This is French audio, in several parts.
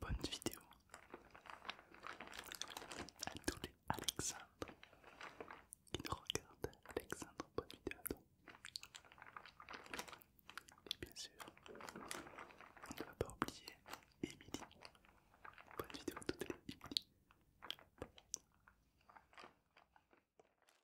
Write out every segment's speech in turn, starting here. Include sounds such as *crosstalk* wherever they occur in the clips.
Bonne vidéo à tous les Alexandre qui nous regardent. Alexandre, bonne vidéo à Et bien sûr, on ne va pas oublier Emily. Bonne vidéo à toutes les Emily.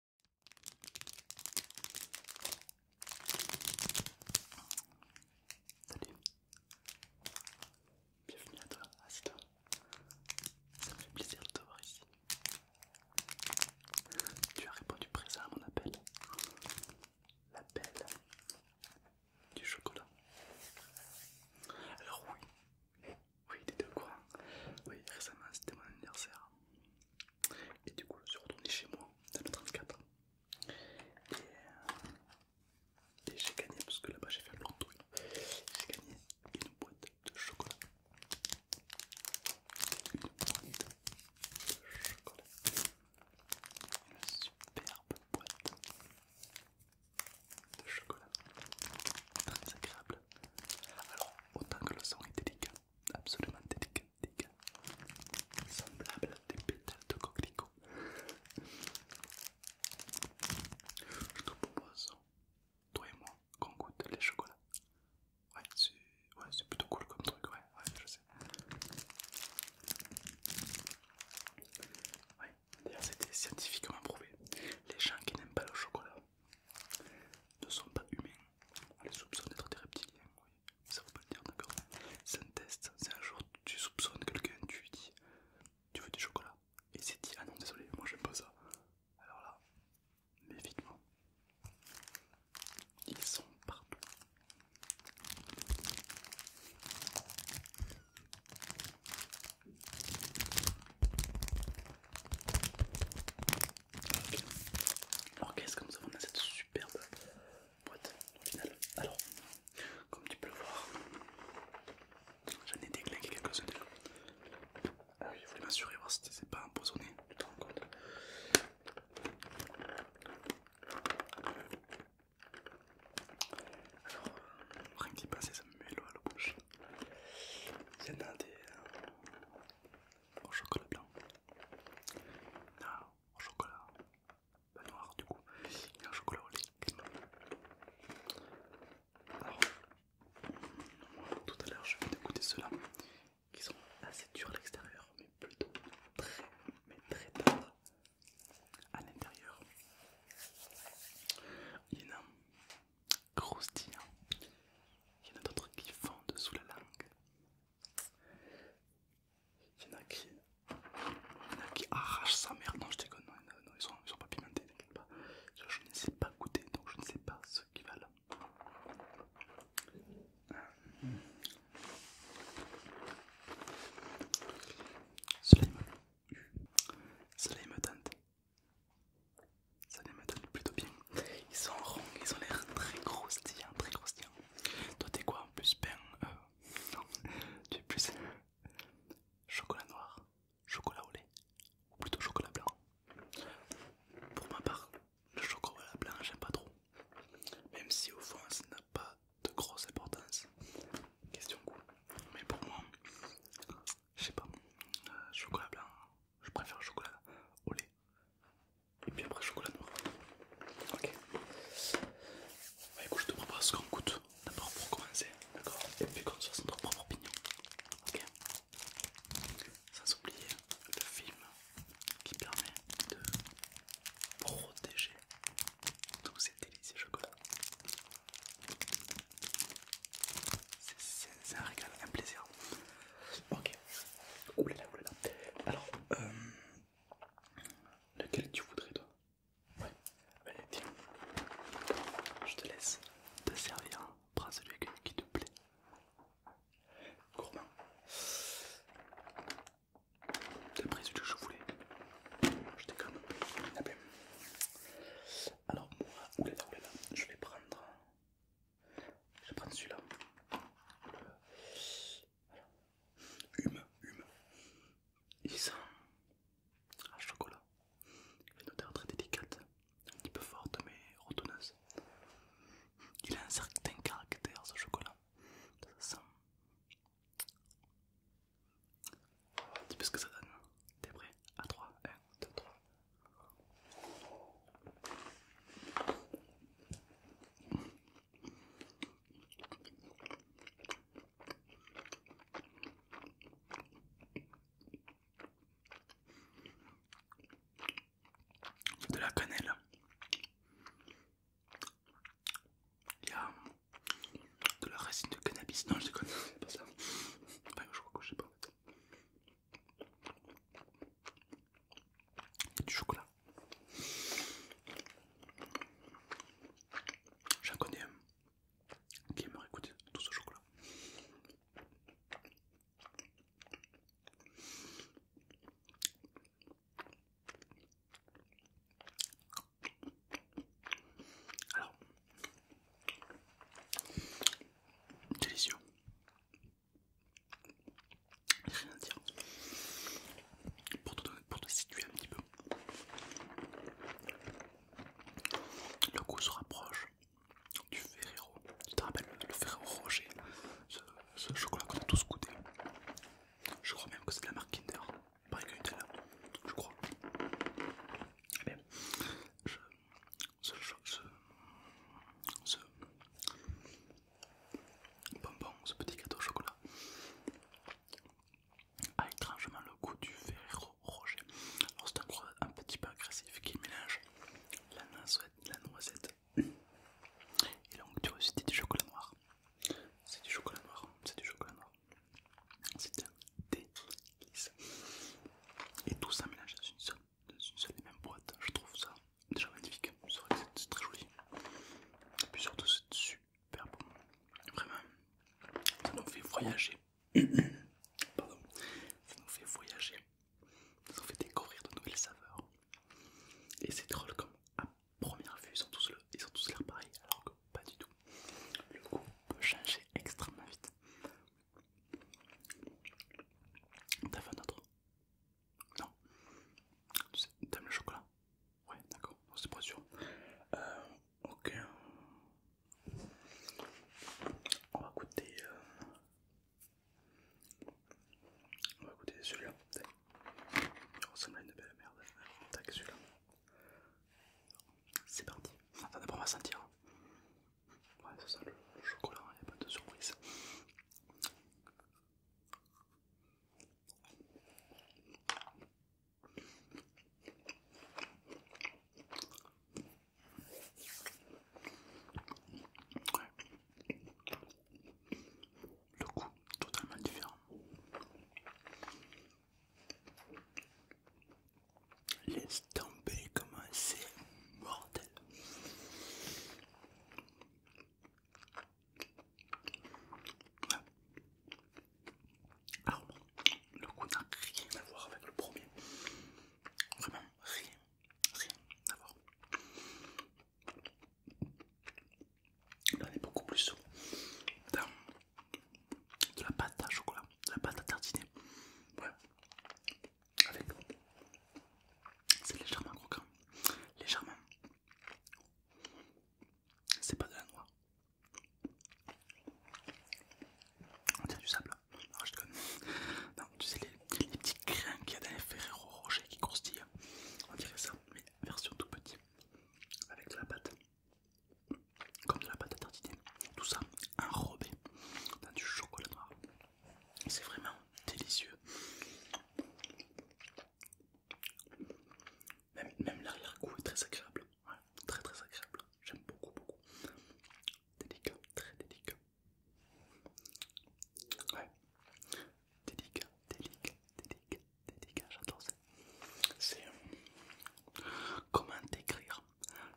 Salut, bienvenue à toi, assis-toi. Ça me fait plaisir de te voir ici. Tu as répondu présent à mon appel. L'appel du chocolat. Alors oui, oui, t'étais au courant. Oui, récemment c'était mon anniversaire. Et du coup, je suis retourné chez moi dans le 34. Et, euh, et j'ai gagné, parce que là-bas j'ai fait un long tour, j'ai gagné une boîte de chocolat. Une boîte de chocolat. Une superbe boîte de chocolat. Très agréable. Alors, autant que le son est délicat, absolument délicat semblable à des pétales de coquelicot. Je te propose, toi et moi, qu'on goûte les chocolats. Ouais, c'est plutôt cool comme truc, ouais, ouais, je sais. Ouais, d'ailleurs, c'était scientifiquement prouvé. Les gens qui n'aiment pas le chocolat ne sont pas humains, on les soupçonne d'être des reptiliens, oui. Ça veut pas le dire, d'accord C'est un test, c'est un jour tu soupçonnes quelqu'un, tu lui dis Tu veux du chocolat Et il s'est dit Ah non, désolé, moi j'aime pas ça. Alors là, évidemment, ils sont partout. Alors qu'est-ce que nous avons dans cette superbe boîte au Alors, comme tu peux le voir, j'en ai déglingué quelques-uns déjà. Ah oui, je voulais m'assurer voir si c'est pas empoisonné, tu te rends compte alors, euh, rien qui passe, ça me met l'eau à l'eau gauche. Il y en a des euh, au chocolat blanc, ah, au chocolat, pas noir du coup, et un chocolat au lait tout à l'heure je vais dégoûter ceux-là, qui sont assez durs à l'extérieur, mais plutôt très, mais très tendres à l'intérieur. Il y en a croustillant, il y en a d'autres qui fondent sous la langue. Il y en a qui. arrachent sa merde, Non, je déconne, non, ils, sont, sont pas pimentés, Je, ne sais pas goûter, donc je ne sais pas ce qui va euh. là Cela il me tente. Cela me tente plutôt bien. Ils sont ronds, ils ont l'air très tiens très croustillants. Toi t'es quoi en plus pain euh... tu es plus chocolat noir, chocolat au lait ou plutôt chocolat blanc. Pour ma part, le chocolat blanc j'aime pas trop, même si au fond ça n'a pas de grosse importance. Question cool. Mais pour moi, je sais pas, euh, chocolat blanc, je préfère chocolat au lait et puis après chocolat noir. Ok. Bah écoute, je te propose qu'on goûte d'abord pour commencer, d'accord Et puis qu'on soit fasse notre propre opinion. Ok Sans oublier le film qui permet de protéger tous ces délicieux chocolat C'est un régal, un plaisir. Ok. Oulala, là. Alors, euh, Lequel tu voudrais toi Ouais. allez, tiens. Je te laisse te servir. Prends celui qui te plaît. Gourmand. T'as pris celui que je voulais. Je déconne. Ah Alors moi, oulala, oulala, je vais prendre... Je vais prendre celui-là. Hume, hume. Il sent à chocolat. Une odeur très délicate, un petit peu forte mais rotonneuse. Il a un certain caractère ce chocolat. Ça sent. tu peux ce que ça donne. T'es prêt À 3, 1, 2, 3 de la cannelle. Il y a de la racine de cannabis. Non, je déconne, c'est pas ça. Pas je crois que je sais pas du chocolat. J'en connais un qui aimerait goûter tout ce chocolat. Alors, délicieux, Rien à dire. Pour te, situer un petit peu, le goût se rapproche du Ferrero. Tu te rappelles le Ferrero Rocher, ce, chocolat qu'on a tous goûté. Je crois même que c'est de la marque Kinder, pareil que Nutella, je crois. Et eh bien, je, ce, ce, ce, bonbon, ce petit gâteau au chocolat a ah, étrangement le goût du Ferrero Rocher. Alors c'est un un petit peu agressif qui mélange la noisette, et donc du chocolat noir. C'est du chocolat noir, c'est du chocolat noir. C'est un délice. Et tout ça mélange dans une seule, dans une seule et même boîte. Je trouve ça déjà magnifique, c'est vrai c'est très joli. Et puis surtout c'est super bon. Vraiment, ça nous fait voyager. *clears throat* Pardon, ça nous fait voyager. Ça nous fait découvrir de nouvelles saveurs. Et c'est drôle comme à première vue, ils ont tous, le, ils l'air pareils, alors que pas du tout. Le goût peut changer extrêmement vite. T'as fait un autre non. tu T'aimes le chocolat Ouais, d'accord, c'est pas sûr. Euh, ok. On va goûter. Euh, on va goûter celui-là. Il ressemble à une belle merde. Tac, celui-là. C'est parti. Attends, d'abord on va sentir. Ouais, ça sent le chocolat, il hein, n'y a pas de surprise. Le coup totalement différent. Laisse tomber comme c'est mortel. Alors, ah, le goût n'a rien à voir avec le premier. Vraiment, rien, rien à voir. Là, on est beaucoup plus dans de la pâte à chocolat, de la pâte à tartiner. Ouais. Avec, c'est légèrement croquant, légèrement c'est pas de la noix. On dirait du sable. Non, je te tu sais, les, petits grains qu'il y a dans les Ferrero Rocher qui croustillent. On dirait ça, mais version tout petit. Avec de la pâte. Comme de la pâte à tartiner. Tout ça enrobé dans du chocolat noir. C'est vraiment délicieux. Même, même l'arrière-goût est très agréable. très très agréable. J'aime beaucoup beaucoup. Délicat, très délicat. Ouais. Délicat, délicat, délicat, délicat. J'adore ça. C'est euh, comment décrire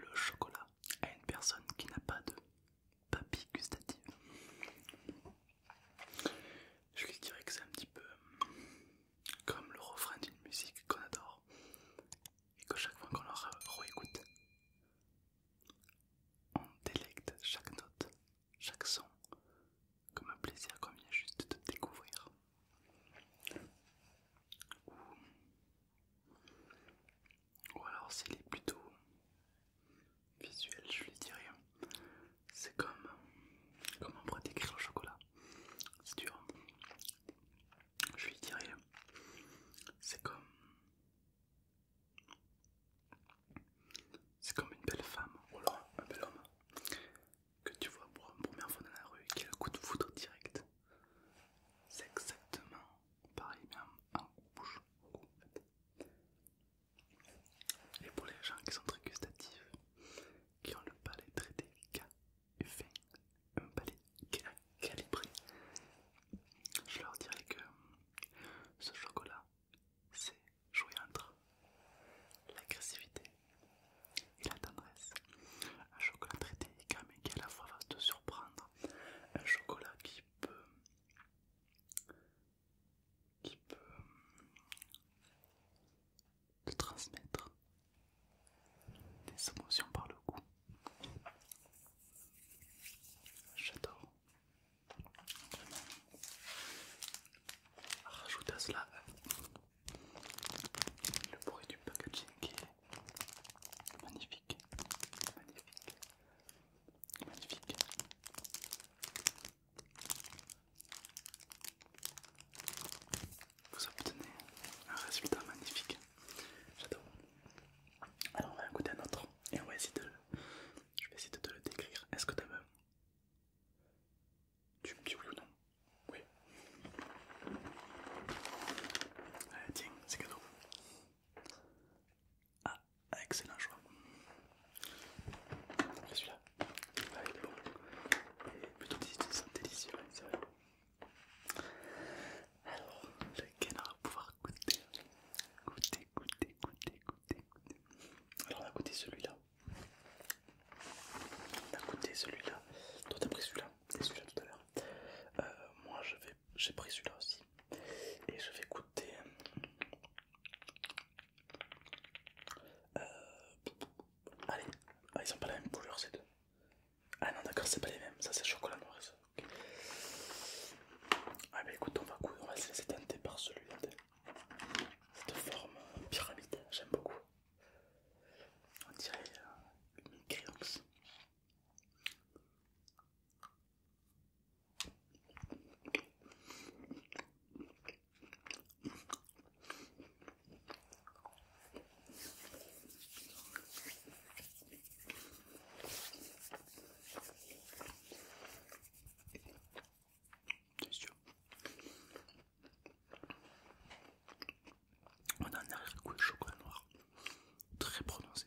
le chocolat à une personne qui n'a pas de papy gustative. Je lui dirais que c'est un petit peu euh, comme le refrain d'une musique qu'on adore et que chaque fois qu'on la réécoute, on délecte chaque note, chaque son, comme un plaisir qu'on vient juste de découvrir. Ou, alors s'il est plutôt visuel, je lui dirais. Hein. C'est comme. Comment on pourrait décrire le chocolat C'est dur. Je lui dirais. C'est comme. C'est comme une belle femme, ou alors un bel homme, que tu vois pour une première fois dans la rue, qui a le coup de foudre direct. C'est exactement pareil, même en bouche. Et pour les gens qui sont très gustatifs, qui ont le palais très délicat et un palais calibré, je leur dirais que ce chocolat, c'est jouer entre l'agressivité et la tendresse. Un chocolat traité délicat qui à la fois va te surprendre. Un chocolat qui peut qui peut euh, te transmettre des émotions par le goût J'adore. Vraiment. Ah, rajoute à cela euh, le bruit du packaging qui est magnifique, magnifique, magnifique. Vous obtenez un résultat magnifique. J'adore. Alors on va écouter un autre et on va essayer de le... Je vais essayer de te le décrire. Est-ce que tu veux? Tu ou non Oui. Allez, tiens, c'est cadeau. Ah, excellent choix. Et celui-là ah, il est bon. Et plutôt délicieux, Alors, lequel on va pouvoir goûter Goûter, goûter, goûter, goûter, Alors, on a goûté celui-là. On a goûté celui-là. Toi, t'as pris celui-là et celui-là tout à l'heure. Euh, moi, j'ai pris celui-là aussi. Et je vais goûter. Euh, allez, ah, ils ont pas la même couleur ces deux. Ah non d'accord, c'est pas les mêmes, ça c'est chocolat noir ça. Ah bah écoute, on va, on va se laisser tenter par celui-là. Cette forme euh, pyramide, j'aime beaucoup. On dirait euh, une créance. Sûr. On a un arrière-goût de chocolat noir très prononcé.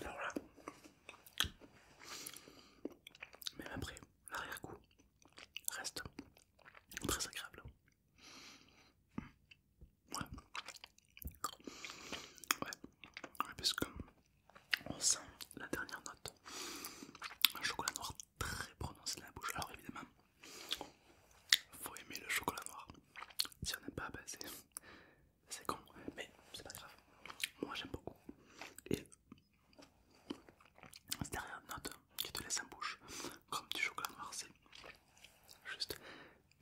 Alors là, même après, l'arrière-goût reste très agréable. Ouais. ouais, parce que on sent la dernière note, un chocolat noir très prononcé dans la bouche. Alors évidemment, faut aimer le chocolat noir. Si on n'aime pas, ben, c'est con, mais c'est pas grave. Moi j'aime beaucoup. Et cette dernière note qui te laisse en bouche, comme du chocolat noir, c'est juste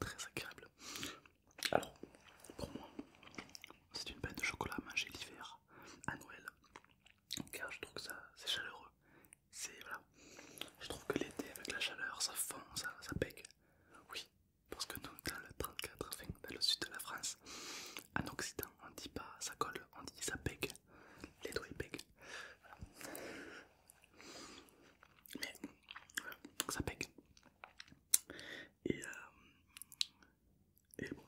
très agréable. Alors, pour moi, c'est une bête de chocolat à manger l'hiver, à Noël, car je trouve que ça c'est chaleureux. C'est je trouve que l'été avec la chaleur, ça fond, ça, ça pègue. Oui, parce que nous, dans le 34, enfin, dans le sud de la France, en Occident, on dit pas ça colle, on dit ça pègue. Les doigts ils Mais voilà, ça pègue. Euh, et, bon,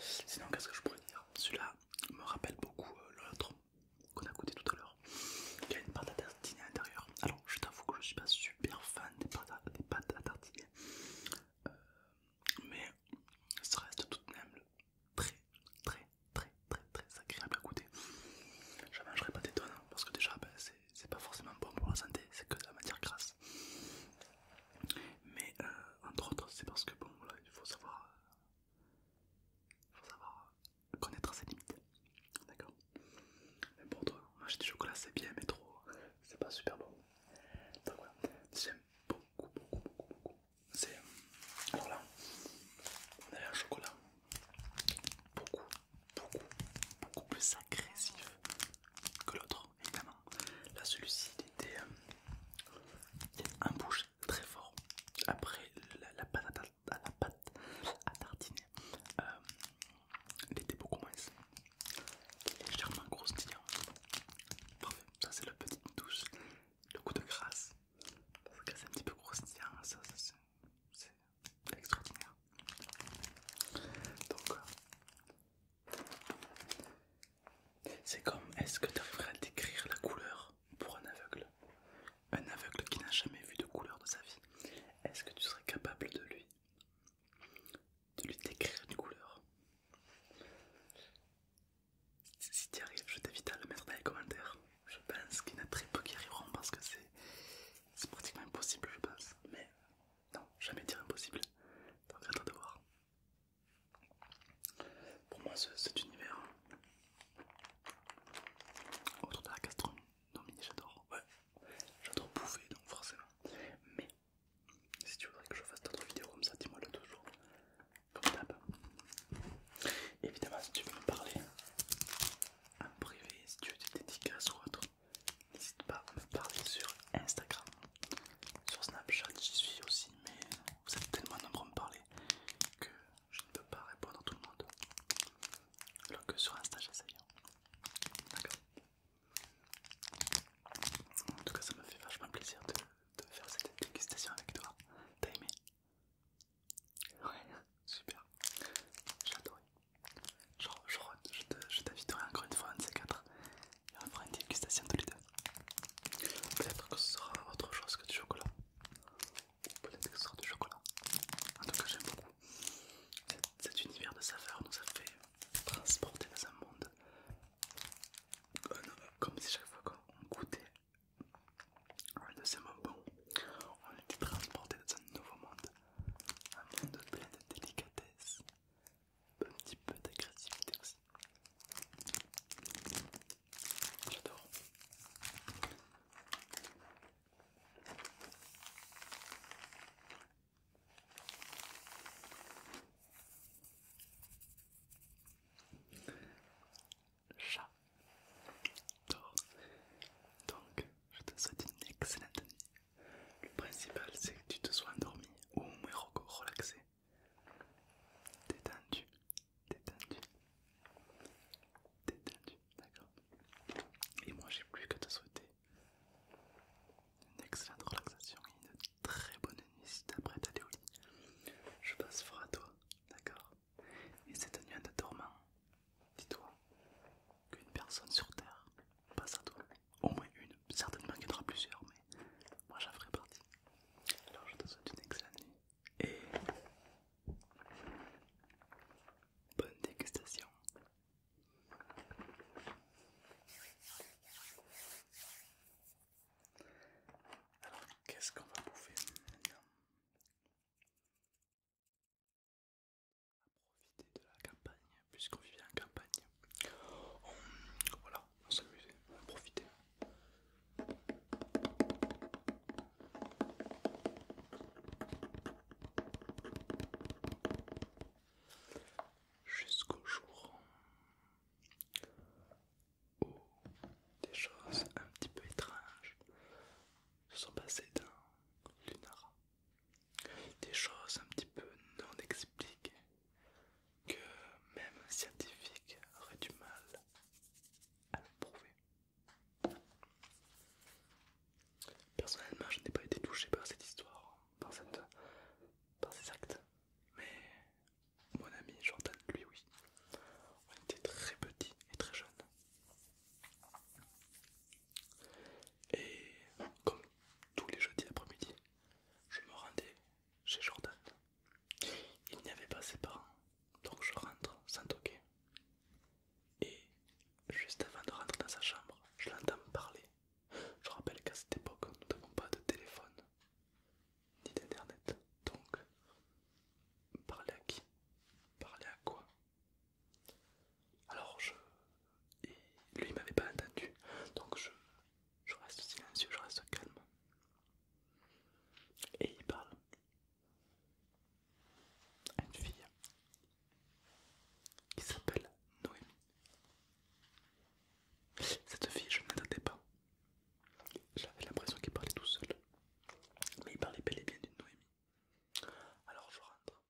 sinon, qu'est-ce que je pourrais dire Celui-là me rappelle beaucoup euh, l'autre qu'on a goûté tout à l'heure. qui a une pâte à tartiner à l'intérieur. Alors, je t'avoue que je suis pas super fan des pâtes à, tartiner, euh, mais ça reste tout de même très, très, très, très, très agréable à goûter. Je mangerai pas des tonnes hein, parce que déjà, bah, c'est pas forcément bon pour la santé, c'est que de la matière grasse. Mais euh, entre autres, c'est parce que bon, voilà, il faut savoir, connaître ses limites. D'accord Mais pour toi, manger du chocolat c'est bien, mais trop, c'est pas super bon. Donc voilà, j'aime beaucoup, beaucoup, beaucoup, beaucoup. C'est. Alors là, on a un chocolat beaucoup beaucoup, beaucoup plus agressif que l'autre, évidemment. Là, celui-ci, il était euh, un bouche très fort. Après la, la pâte à, tartiner, euh, il était beaucoup moins légèrement croustillant. Parfait, ça c'est la petite douche, le coup de grâce. Parce que c'est un petit peu croustillant, ça, ça c'est extraordinaire. Donc, euh, c'est comme, est-ce que tu arriverais à décrire la couleur pour un aveugle Un aveugle qui n'a jamais vu de couleur de sa vie. Est-ce que tu serais capable de lui de lui décrire une couleur Si tu y arrives, je t'invite à le mettre dans les commentaires. Je pense qu'il y en a très peu qui arriveront parce que c'est pratiquement impossible, je pense. Mais non, jamais dire impossible. Donc à de voir. Pour moi, cet univers hein. autour de la castron, non mais j'adore, ouais, j'adore bouffer donc forcément. Mais si tu voudrais que je fasse d'autres vidéos comme ça, dis-moi le toujours. Comme d'hab. Évidemment, si tu veux me parler en privé, si tu veux des dédicaces ou autre, n'hésite pas à me parler sur Instagram. Sur Snapchat, j'y suis aussi, mais vous êtes tellement nombreux à me parler que je ne peux pas répondre à tout le monde. Alors que sur Insta, j'essaye. Hein. D'accord En tout cas, ça me fait vachement plaisir de, faire cette dégustation avec toi. T'as aimé Ouais, *laughs* super. J'ai adoré je, t'inviterai encore une fois un de 4 quatre et on fera une dégustation tous les deux. Peut-être que ce sera autre chose que du chocolat. Peut-être que ce sera du chocolat. En tout cas, j'aime beaucoup cet univers de saveurs nous a fait transporter dans un monde euh, comme si chaque fois qu'on goûtait un de ces on était transporté dans un nouveau monde, un monde plein de délicatesse, un petit peu d'agressivité aussi. J'adore. J'adore. Donc, je te souhaite une excellente nuit le principal c'est que tu te sois endormi ou au moins relaxé. Détendu, détendu, détendu, d'accord Et moi j'ai plus que te souhaiter une excellente relaxation et une très bonne nuit si t'as prêt à aller au lit. Je passe fort à toi, d'accord Et cette nuit en te dormant, dis-toi qu'une personne sur Terre passe à toi au moins une, certainement qu'il y en aura plusieurs, mais moi j'en ferai partie. Alors je te souhaite une excellente nuit et bonne dégustation. Alors qu'est-ce qu'on va bouffer maintenant profiter de la campagne, puisqu'on vivait en campagne. voilà, on s'amusait, on profitait. Jusqu'au jour où des choses un petit peu étranges se sont passées dans Lunara des choses un petit peu non expliquées que même un scientifique aurait du mal à prouver. Personnellement, je n'ai pas été touché par cette histoire, par, par ces actes, mais mon ami Jordan, lui, oui. On était très petit et très jeune. Et comme tous les jeudis après-midi, je me rendais chez Jordan. Il n'y avait pas ses parents, donc je rentre sans toquer. Et juste avant de rentrer dans sa chambre, je l'entends parler. Je rappelle qu'à cette époque, nous n'avons pas de téléphone ni d'internet. Donc, parler à qui Parler à quoi alors je. lui m'avait pas entendu, donc je, reste silencieux, je reste calme. Et il parle à une fille qui s'appelle Noémie. Cette fille, je ne l'entendais pas. J'avais l'impression qu'il parlait tout seul. Mais il parlait bel et bien d'une Noémie. Alors je rentre.